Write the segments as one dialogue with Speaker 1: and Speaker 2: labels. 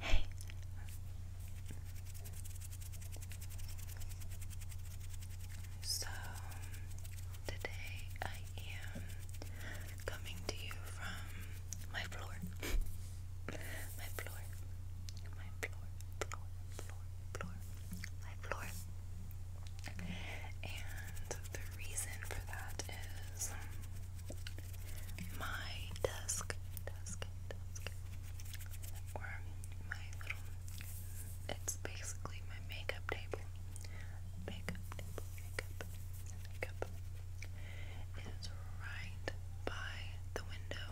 Speaker 1: Hey. So today I am coming to you from my floor. my floor. My floor. Floor. Floor. Floor. My floor. And the reason for that is my desk, desk, desk, or my little, it's basically my makeup table, makeup table, makeup, makeup, is right by the window,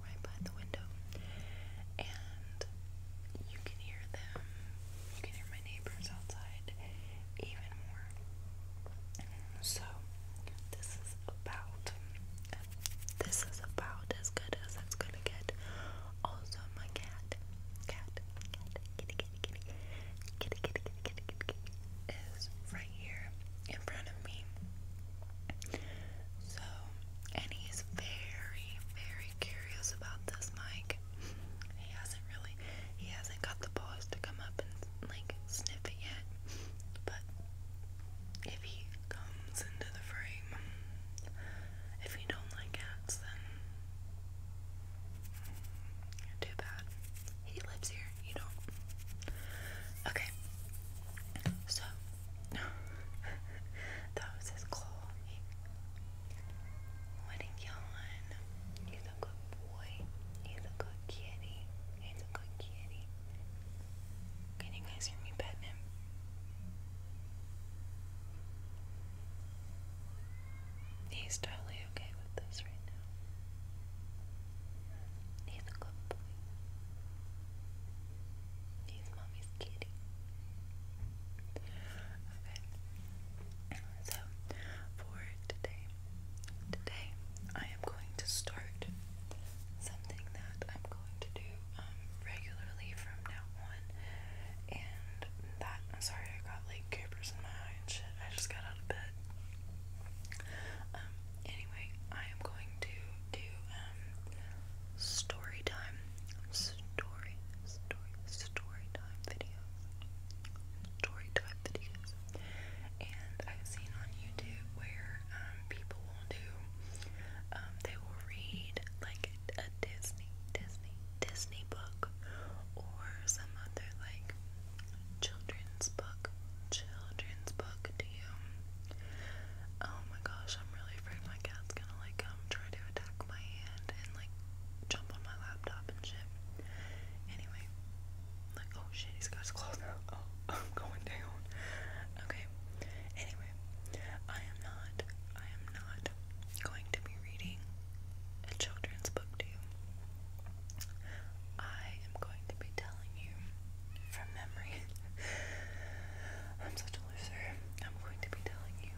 Speaker 1: right by the window, and you can hear them, you can hear my neighbors outside, even more. So this is about this is about as good as it's gonna get. Also my cat cat cat kitty kitty kitty kitty kitty kitty kitty kitty kitty is right here in front of me. So and he's very, very curious about this mic. He hasn't really he hasn't got the balls to come up and like sniff it yet. But if he comes into the frame, if you don't like cats, then too bad. He lives here, you don't. Okay, so that was his claw. He would yawn. He's a good boy. He's a good kitty. He's a good kitty. Can you guys hear me petting He's totally okay with this right now. He's a good boy. He's mommy's kitty. Okay. So for today, Today I am going to start something that I'm going to do um, regularly from now on. And that, sorry, I got like capers in my eye I just got out of bed. Um, anyway, I am going to do um, story time, story, story, story time videos, story time videos. And I've seen on YouTube where um, people will do, um, they will read like a Disney, Disney, Disney book or some other like children's book, children's book to you. Oh my gosh, I'm really afraid my cat's gonna like come um, try to attack my hand and like jump on my laptop and shit. Anyway, like, oh shit, he's got Oh, I'm going down. Okay. Anyway, I am not, I am not going to be reading a children's book to you. I am going to be telling you from memory. I'm such a loser. I'm going to be telling you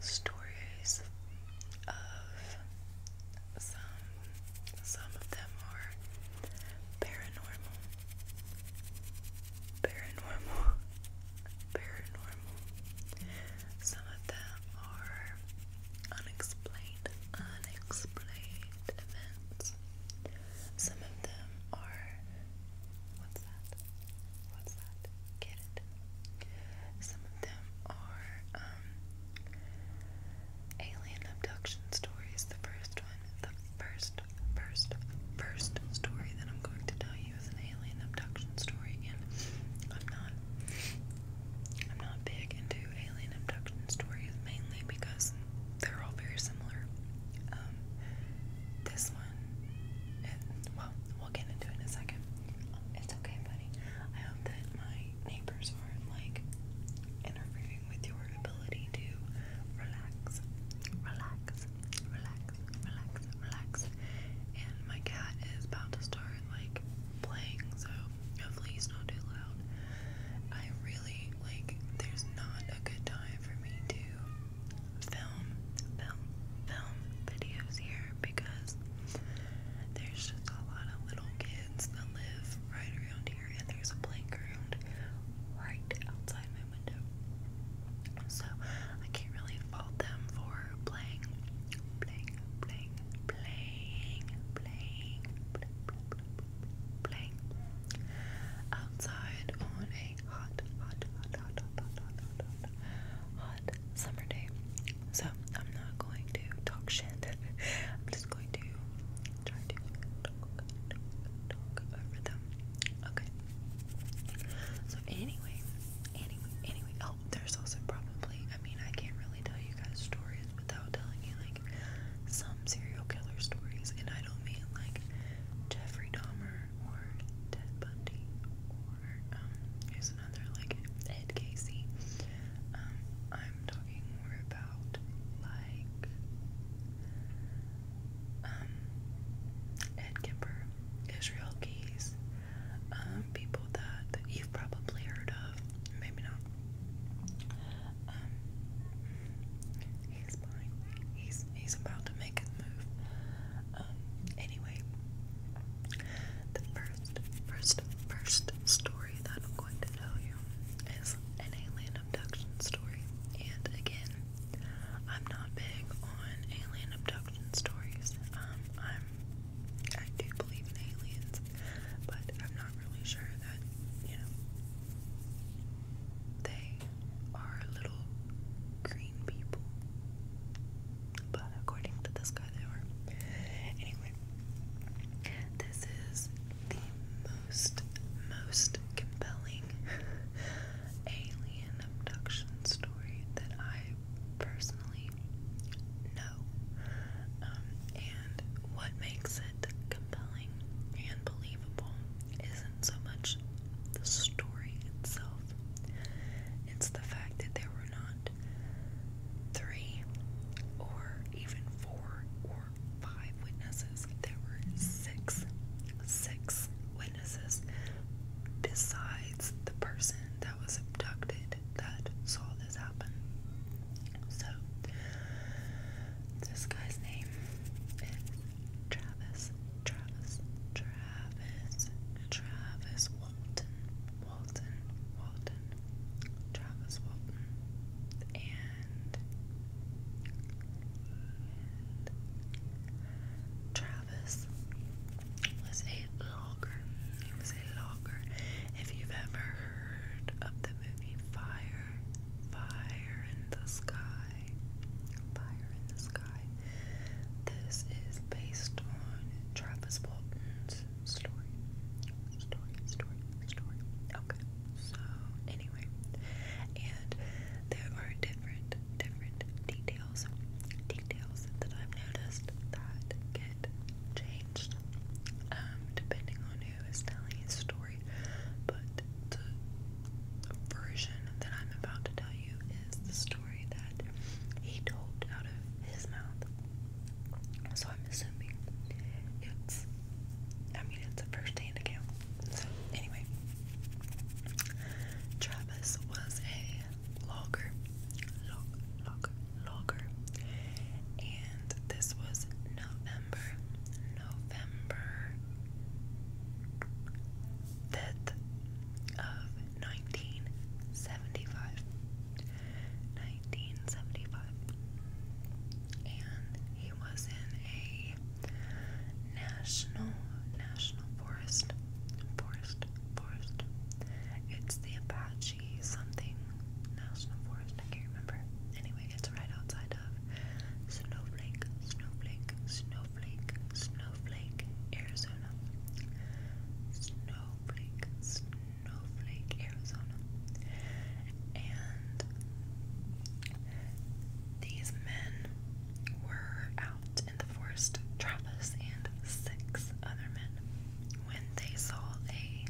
Speaker 1: stories of some some of them are paranormal paranormal paranormal some of them are unexplained unexplained events some of them are what's that what's that get it some of them are um, Alien abduction stories. the first one. The first, first, first story that I'm going to tell you is an alien abduction story, and I'm not, I'm not big into alien abduction stories mainly because they're all very similar. Um, this one, well, we'll get into it in a second. It's okay, buddy. I hope that my neighbors aren't like interfering with your ability to relax, relax, relax, relax, relax. And my cat is about to start like playing, so hopefully he's not too loud. I really like. There's not a good time for me to film, film, film videos here because there's just a lot of little kids that live right around here, and there's a playground right outside my window. So I can't really fault them for playing, playing, playing, playing, playing, playing outside on a hot, hot, hot, hot, hot, hot, hot, hot, hot hot summer day. So I'm not going to talk shit. I'm just going to try to talk, talk, talk over them. Okay. So anyway, anyway, anyway. Oh, there's also probably. I mean, I can't really tell you guys stories without telling you like some serial killer stories, and I don't mean like Jeffrey Dahmer or Ted Bundy um, here's another like Ed Casey. Um, I'm talking more about like um, Ed Kemper, Israel Keys, people that you've probably heard of, maybe not. he's buying. He's he's about to make his move. Um, anyway, the first, first, first story that I'm going to tell you is an alien abduction story. And again, I'm not big on alien abduction stories. Um, I'm, I do believe in aliens, but I'm not really sure that, you know, they are little green people but according to this guy, they were. Anyway, this is the most, most compelling alien abduction story that I personally know. Um, and what makes it compelling and believable isn't so much the story itself, it's the fact that there were not three or even four or five witnesses. There were six, six witnesses besides the person that was abducted that saw this happen. So, this guy's name is Travis, Travis, Travis, Travis Walton, Walton, Walton, Travis Walton, and, Travis was a logger. He was a logger. If you've ever heard of the movie Fire, Fire in the Sky, Fire in the Sky, this is based on Travis Walton's story. Story, story, story. Okay. So anyway. And there are different different details. Details that I've noticed that get changed. Um, depending on who is telling his story. But the version that I'm about to tell you is the story story that he told out of his mouth. So I'm assuming it's, I mean, it's a first hand account. So, anyway, Travis was a logger, log, logger, and this was November, November 5th of 1975. And he was in a national, national forest, forest, forest. It's the Apache something national forest, I can't remember. Anyway, it's right outside of Snowflake, Snowflake, Snowflake. Snowflake, Arizona. Snowflake, Snowflake, Arizona. And these men were out in the forest, Travis and six other men, when they saw a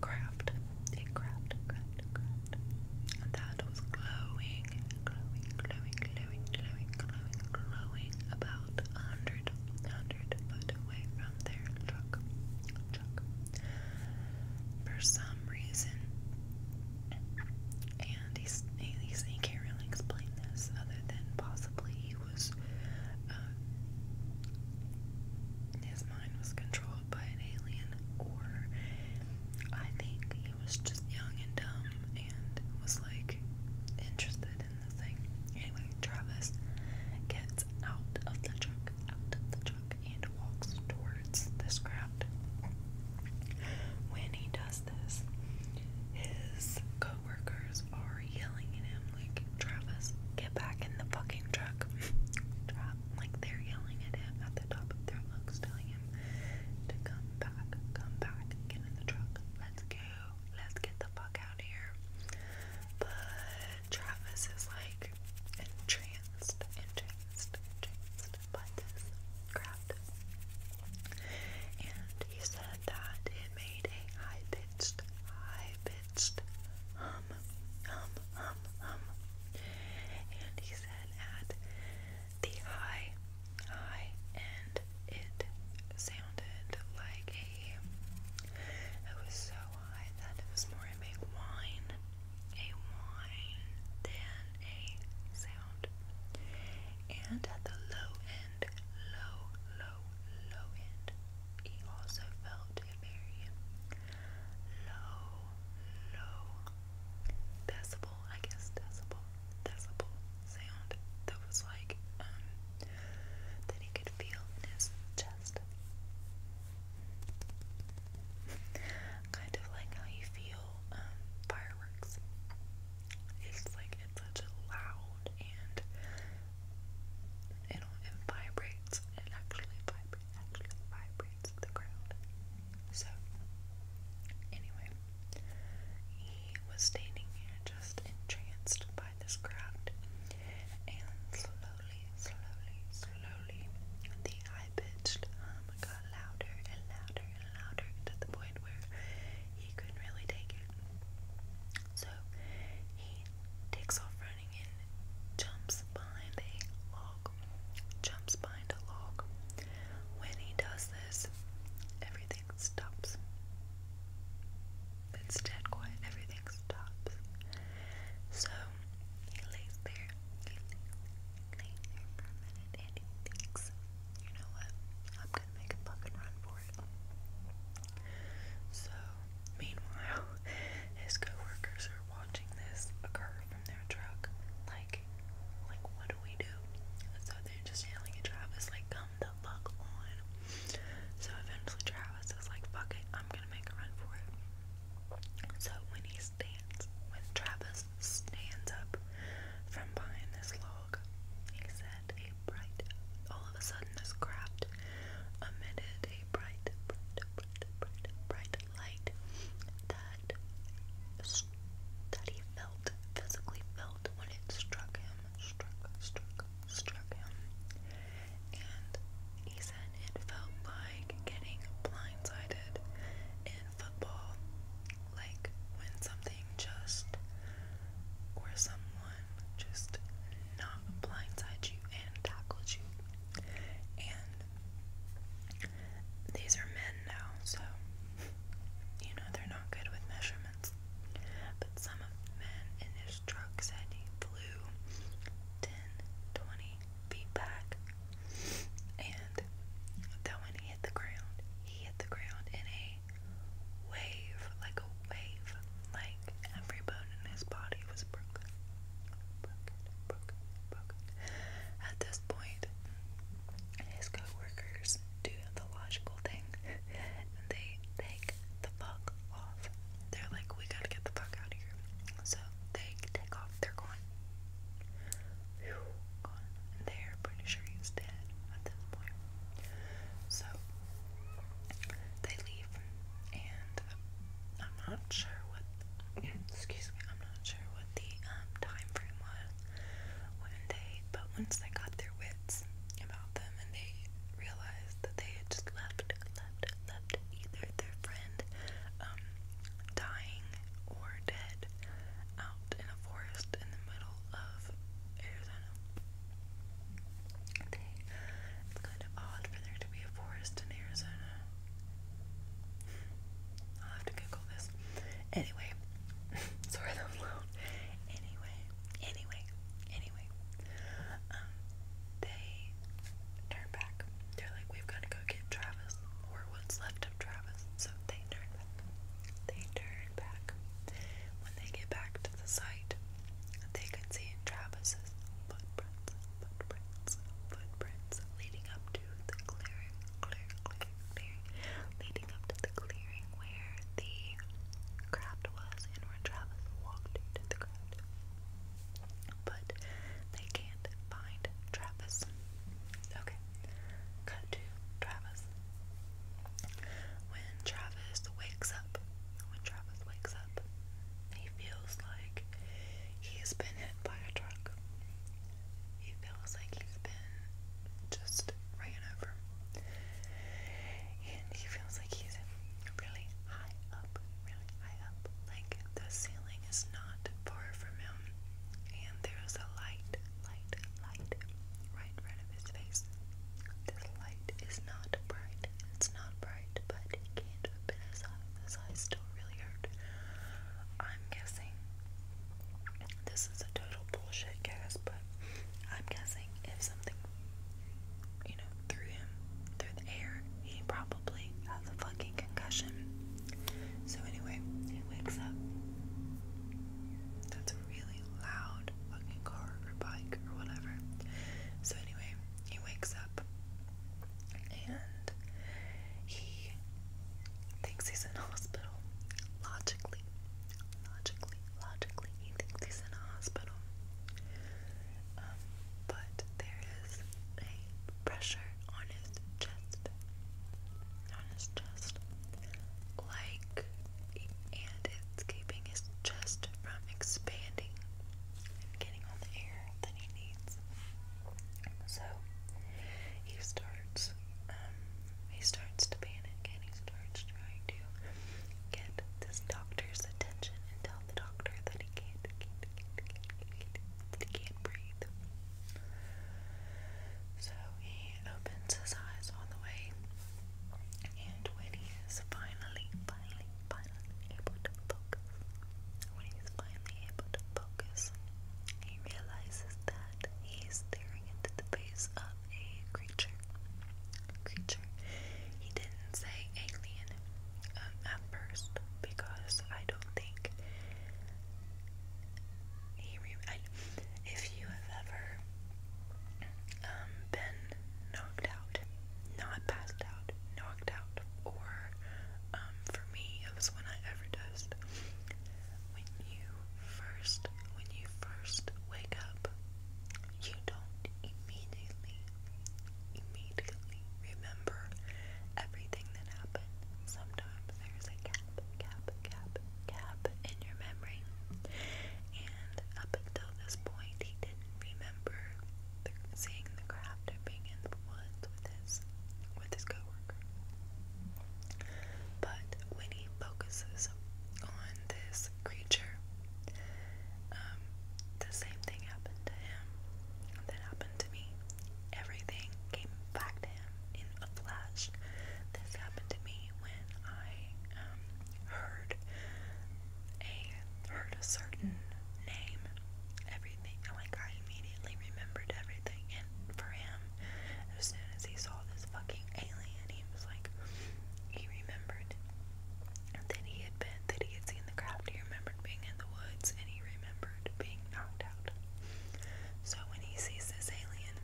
Speaker 1: craft, a craft, craft, craft that was glowing glowing, glowing, glowing, glowing, glowing, glowing, about a hundred, hundred foot away from their truck, For some reason, and he's, he can't really explain this other than possibly he was, his mind was controlled by an alien, or I think he was just young and dumb and was like interested in the thing. Anyway, Travis gets out of the truck, out of the truck, and walks towards this crowd. When he does this, his co are yelling at him like, Travis, get back in the fucking truck. Like they're yelling at him at the top of their lungs, telling him to come back, come back, get in the truck let's go. Let's get the fuck out of here. But Travis is like entranced, entranced, entranced by this And he said that it made a high pitched, high pitched hum, hum, hum, hum. And he said at the high, high, and it sounded like a. It was so high that it was more of a a whine than a sound. And at the low end, low, low, low end, it also felt a very low, low decibel I guess decibel, decibel sound that was like, um, that he could feel in his chest. kind of like how you feel, um, fireworks. It's like, such a loud and it, it vibrates, it actually vibrates, actually vibrates the ground. So, anyway, he was standing here just entranced by this crowd, and slowly, slowly, slowly, the high pitched hum got louder and louder and louder to the point where he couldn't really take it. So he takes off running and jumps behind a log, jumps behind a log. When he does this, everything stops. It's dead quiet, everything stops. So he lays there, he lays there for a minute and he thinks, you know what, I'm gonna make a fucking run for it. So, meanwhile, his co are watching this occur from their truck, like, like, what do we do? So they're just yelling at Travis, like, come the fuck on. So eventually Travis is like, fuck I'm gonna make a run for it. So when he stands, when Travis stands up from behind this log, he said a bright, all of a sudden this craft emitted a bright, bright, bright, bright light that that he felt physically felt when it struck him, struck, struck, struck him, and he said it felt like getting blindsided in football, like when something just or someone just not blindsides you and tackles you, and these are men now, so you know they're not good with measurements. But some of the men in his truck said he flew 10, 20 feet back, and that when he hit the ground, he hit the ground in a wave, like a wave, like every bone in his body was broken. Broken, broken, broken. At this point, his co do the logical thing and they take the fuck off. They're like, we gotta get the fuck out of here. So they take off, they're gone. they're pretty sure he's dead So they leave and I'm not sure what excuse me, I'm not sure what the um, time frame was when they, but once they got their wits about them and they realized that they had just left, left, left either their friend um, dying or dead out in a forest in the middle of Arizona. it's kind of odd for there to be a forest in Arizona. I'll have to Google this. Anyway, sorry that was loud. Anyway, anyway, anyway, um, they turn back. They're like, we've got to go get Travis, or what's left of Travis. So they turn back. They turn back. When they get back to the site, they can see Travis's footprints, footprints, footprints leading up to the clearing, leading up to the clearing where the craft was and where Travis walked into the craft. But they can't find Travis. Okay, cut to Travis. When Travis wakes up, when Travis wakes up, he feels like he has been hit by a truck. He feels like he's been just ran over. And he feels like he's really high up, really high up. Like the ceiling is not far from him. And there's a light, light, light right in front of his face. This light is not bright. It's not bright, but he can't open his eyes. His eyes still really hurt. I'm guessing this is a total bullshit guess, but I'm guessing if something, you know, threw him through the air, he probably has a fucking concussion. So, anyway, he wakes up. That's a really loud fucking car or bike or whatever. So, anyway, he wakes up and he thinks he's in a hospital. Logically, logically, logically, he thinks he's in a hospital. Um, but there is a pressure on his chest, on his chest, like, and it's keeping his chest from expanding getting all the air that he needs. So he starts, um, he starts to panic and he starts trying to get this doctor's attention and tell the doctor that he can't, can can't, breathe. So he opens his eyes all the way, and when he is finally, finally, finally able to focus, when he finally able to focus. He realizes that he's staring into the face of a creature. Creature. He didn't say alien um, at first because I don't think if you have ever um, been knocked out, not passed out, knocked out, or um, for me, it was when I overdosed when you first when you first wake up, you don't immediately immediately remember everything that happened. Sometimes there's a gap, gap, gap, gap in your memory. And up until this point he didn't remember seeing the craft or being in the woods with his with his coworkers. But when he focuses on this creature, um, the same thing happened to him that happened to me. Everything came back to him in a flash. This happened to me when I um, heard a heard a certain name. Every everything. And like I immediately remembered everything. And for him, as soon as he saw this fucking alien, he was like, he remembered that he had been, that he had seen the craft. He remembered being in the woods, and he remembered being knocked out. So when he sees this alien,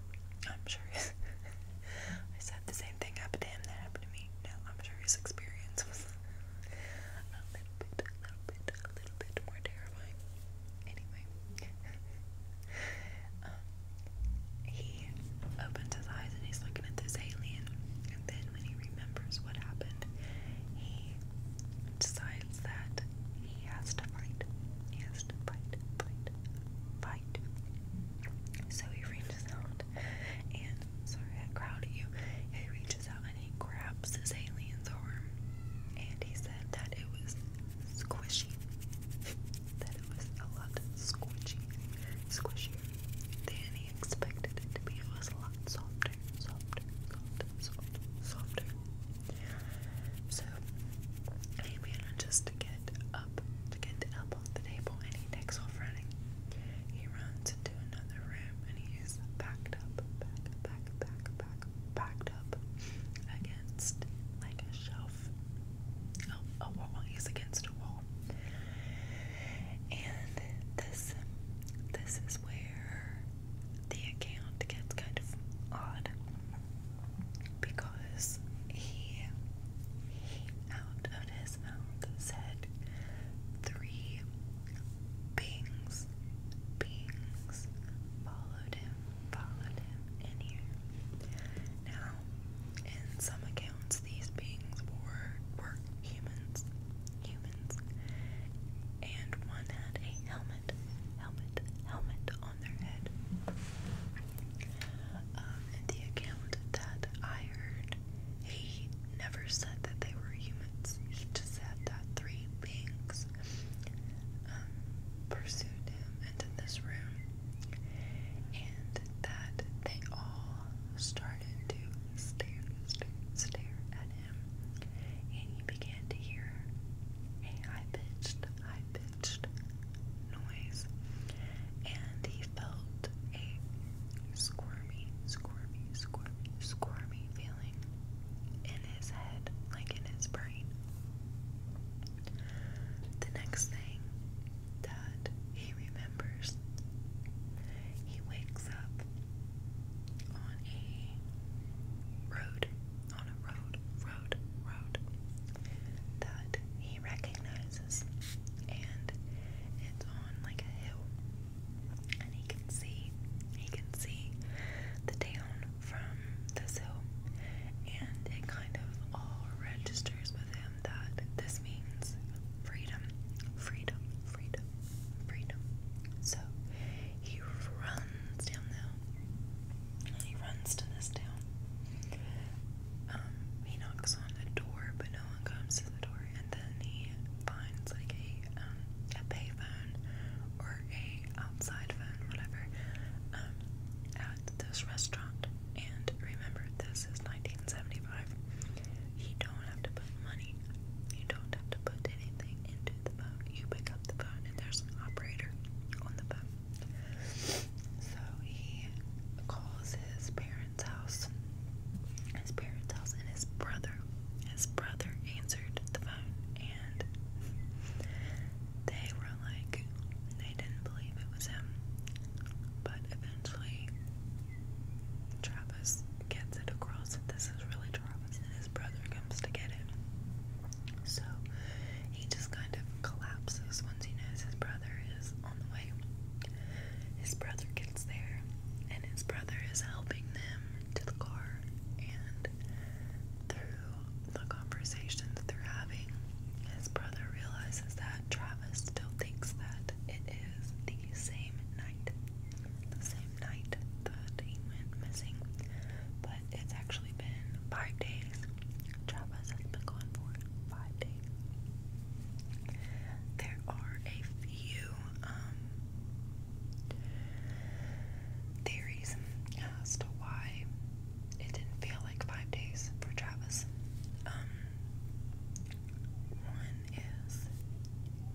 Speaker 1: I'm sure I said the same thing happened to him that happened to me. No, I'm sure his experience was a little bit, a little bit, a little bit more terrifying. Anyway, um, he opens his eyes and he's looking at this alien. And then, when he remembers what happened, he decides that he has to fight. He has to fight, fight, fight. So he reaches out, and sorry, I crowded you. He reaches out and he grabs his alien's arm and he said that it was squishy. that it was a lot squishy. Squishier than he expected it to be. It was a lot softer, softer, softer, softer, So he manages to get up, to get up off the table and he takes off running. He runs into another room and he is backed up, back, back, back, backed up against like a shelf, oh, a wall. He's against a wall, and this, this is where the account gets kind of odd because he, he out of his mouth said three Bings, Bings followed him, followed him in here. Now, in some accounts, these beings were were humans, humans, and one had a helmet, helmet, helmet on their head. Um, in the account that I heard, he never said that they were humans. He just said that three beings um, pursued him into this room, and that they all started to stare, stare, stare at him, and he began to hear a high-pitched, noise, and he felt a squirmy, squirmy, squirmy, squirmy feeling in his head, like in his brain. The next thing that he remembers, he wakes up on a road, on a road, road, road that he recognizes, and it's on like a hill and he can see he can see the town from this hill and it kind of all registers with him that this means freedom freedom freedom freedom so he runs down the hill and he runs to this town um, he knocks on the door but no one comes to the door and then he he finds like a um, a pay phone or a outside phone, whatever, um, at this restaurant. And remember, this is 1975. You don't have to put money. You don't have to put anything into the phone. You pick up the phone, and there's an operator on the phone. So he calls his parents' house. His parents' house, and his brother his brother answered the phone and they were like, they didn't believe it was him. But eventually, Travis gets it across that this is really Travis and his brother comes to get him. So he just kind of collapses once he knows his brother is on the way. His brother gets there and his brother is helping them to the car are and through the conversations they're having, his brother realizes that Travis still thinks that it is the same night, the same night that he went missing, but it's actually been five days. Travis has been gone for five days. There are a few um, Theories as to why it didn't feel like five days for Travis. Um, one is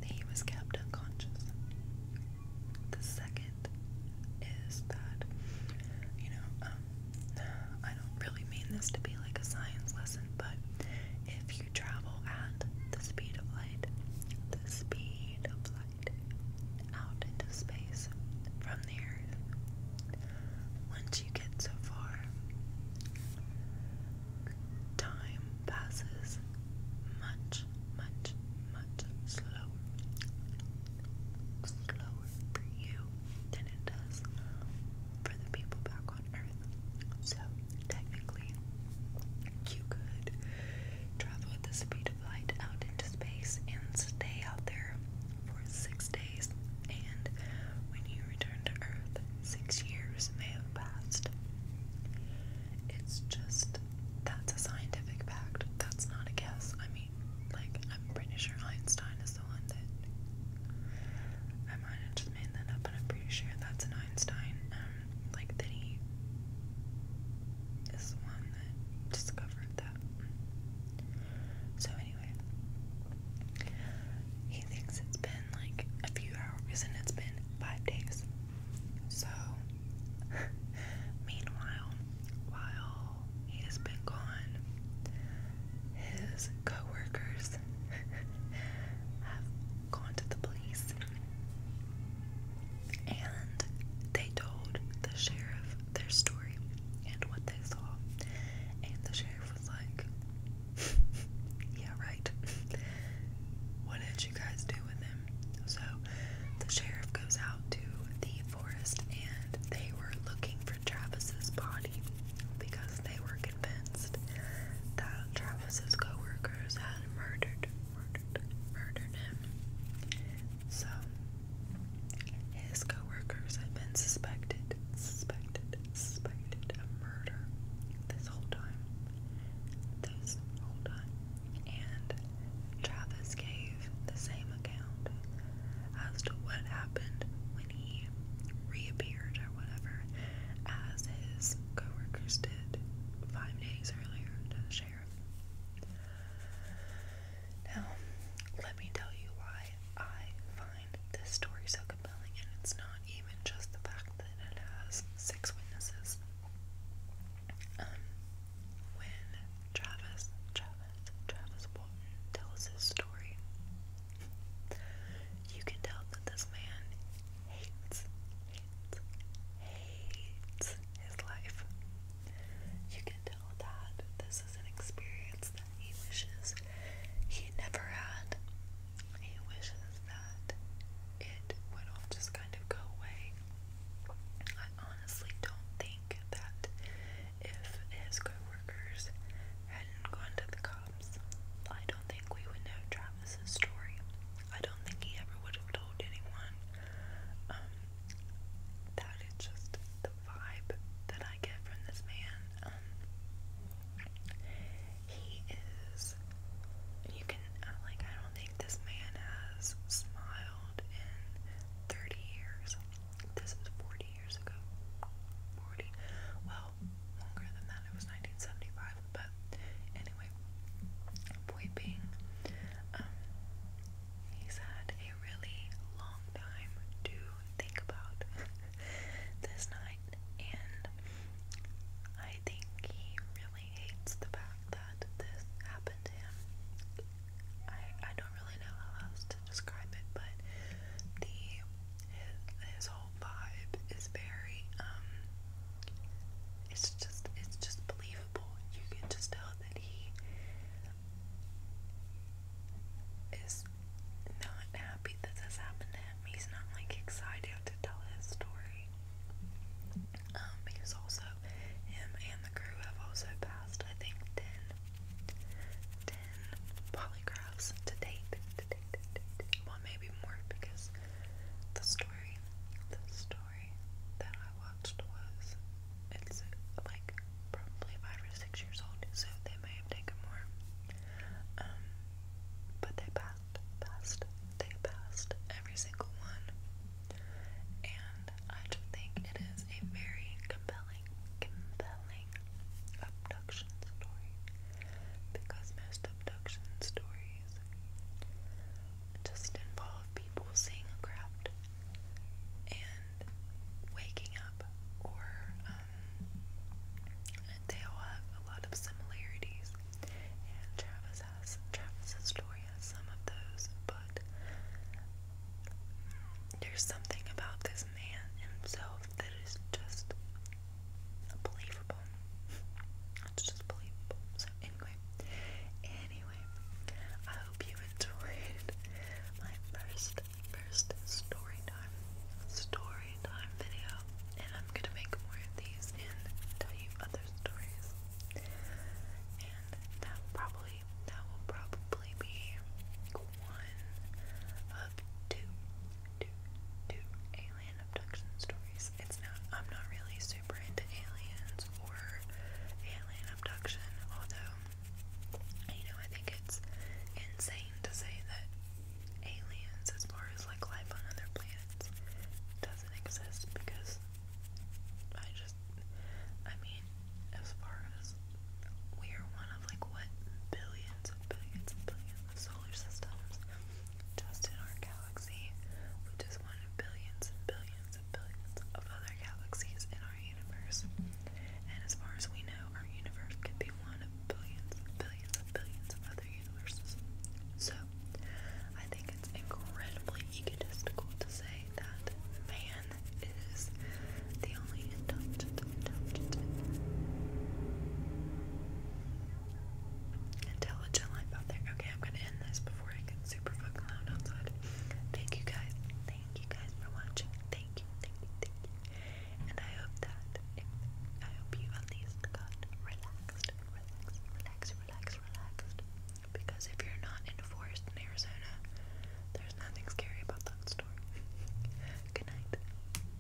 Speaker 1: he was kept unconscious. The second is that, you know, um, I don't really mean this to be like a science lesson, but if you travel at the speed of light, the speed of light, out into space from the earth. Once you get so far, time passes much, much, much slower, slower for you than it does for the people back on earth. So Technically, you could travel at the speed of light out into space and stay out there for six days, and when you return to Earth, six years may have passed. It's just that's a scientific fact, that's not a guess. I mean, like, I'm pretty sure Einstein is the one that I might have just made that up, but I'm pretty sure that's an Einstein. Um, like that he is the one that discovered that. So anyway, he thinks it's been like a few hours and it's been five days. So meanwhile, while he has been gone, his coworkers have gone to the police and they told the sheriff their story and what they saw. And the sheriff was like, Yeah, right. what did you guys do with him? So the sheriff goes out to the forest and they were looking for Travis's body because they were convinced that Travis's co Crows had murdered, murdered, murdered him. So his co-workers had been suspected, suspected, suspected of murder this whole time. This whole time. And Travis gave the same account as to what happened when he reappeared or whatever as his co-workers five days earlier to the sheriff. Now, let me tell you why I find this story so compelling, and it's not even just the fact that it has six witnesses. Um, when Travis, Travis, Travis Walton tells his story, you can tell that this man hates, hates, hates his life. You can tell that this is an experience that he wishes he never had. He wishes that it would all just kind of go away. I honestly don't think that if his co workers hadn't gone to the I don't think we would know Travis's story. I don't think he ever would have told anyone. Um, that is just the vibe that I get from this man. Um, he is. You can uh, like. I don't think this man has smiled in thirty years. This is forty years ago. Forty. Well, longer than that. It was 1975, but anyway, point being, um, had a really long time to think about this night, and I think he really hates the fact that this happened to him. I I don't really know how else to describe it, but the his, whole vibe is very um, it's just it's just believable. You can just tell that he is not happy that this happened to him. He's not like excited to tell his story. Um, he was also him and the crew have also passed I think ten ten polygraphs to date. To date, to date, to date maybe more because the story, the story that I watched was it's like probably five or six years old, so they may have taken more. Um, but they passed, passed, they passed every single one, and I just think it is a very compelling, compelling abduction story because most abduction stories just involve people seeing a craft and waking up, or um, they all have a lot of similarities. And Travis has Travis's story has some of those, but there's something about this man himself that is just believable. It's just believable. So anyway, anyway, I hope you enjoyed my first, first story time, story time video. And I'm gonna make more of these and tell you other stories. And that probably, that will probably be one of two do do alien abduction stories. It's not I'm not really super into aliens or alien abduction, although you know, I think it's insane to say that aliens as far as like life on other planets doesn't exist because I just I mean, as far as we are one of like what billions and billions and billions of solar systems just in our galaxy, which is one of billions and billions and billions of other galaxies in our universe. And as far as we know, our universe could be one of billions billions and billions of other universes. So, I think it's incredibly egotistical to say that man is the only intelligent, intelligent intelligent life out there. Okay, I'm gonna end this before it gets super fucking loud outside. Thank you guys. Thank you guys for watching. Thank you, thank you, thank you. And I hope that I hope you at least got relaxed, relaxed, relaxed, relaxed, relaxed. Because if you're not in a forest in Arizona, there's nothing scary about that story. Good night.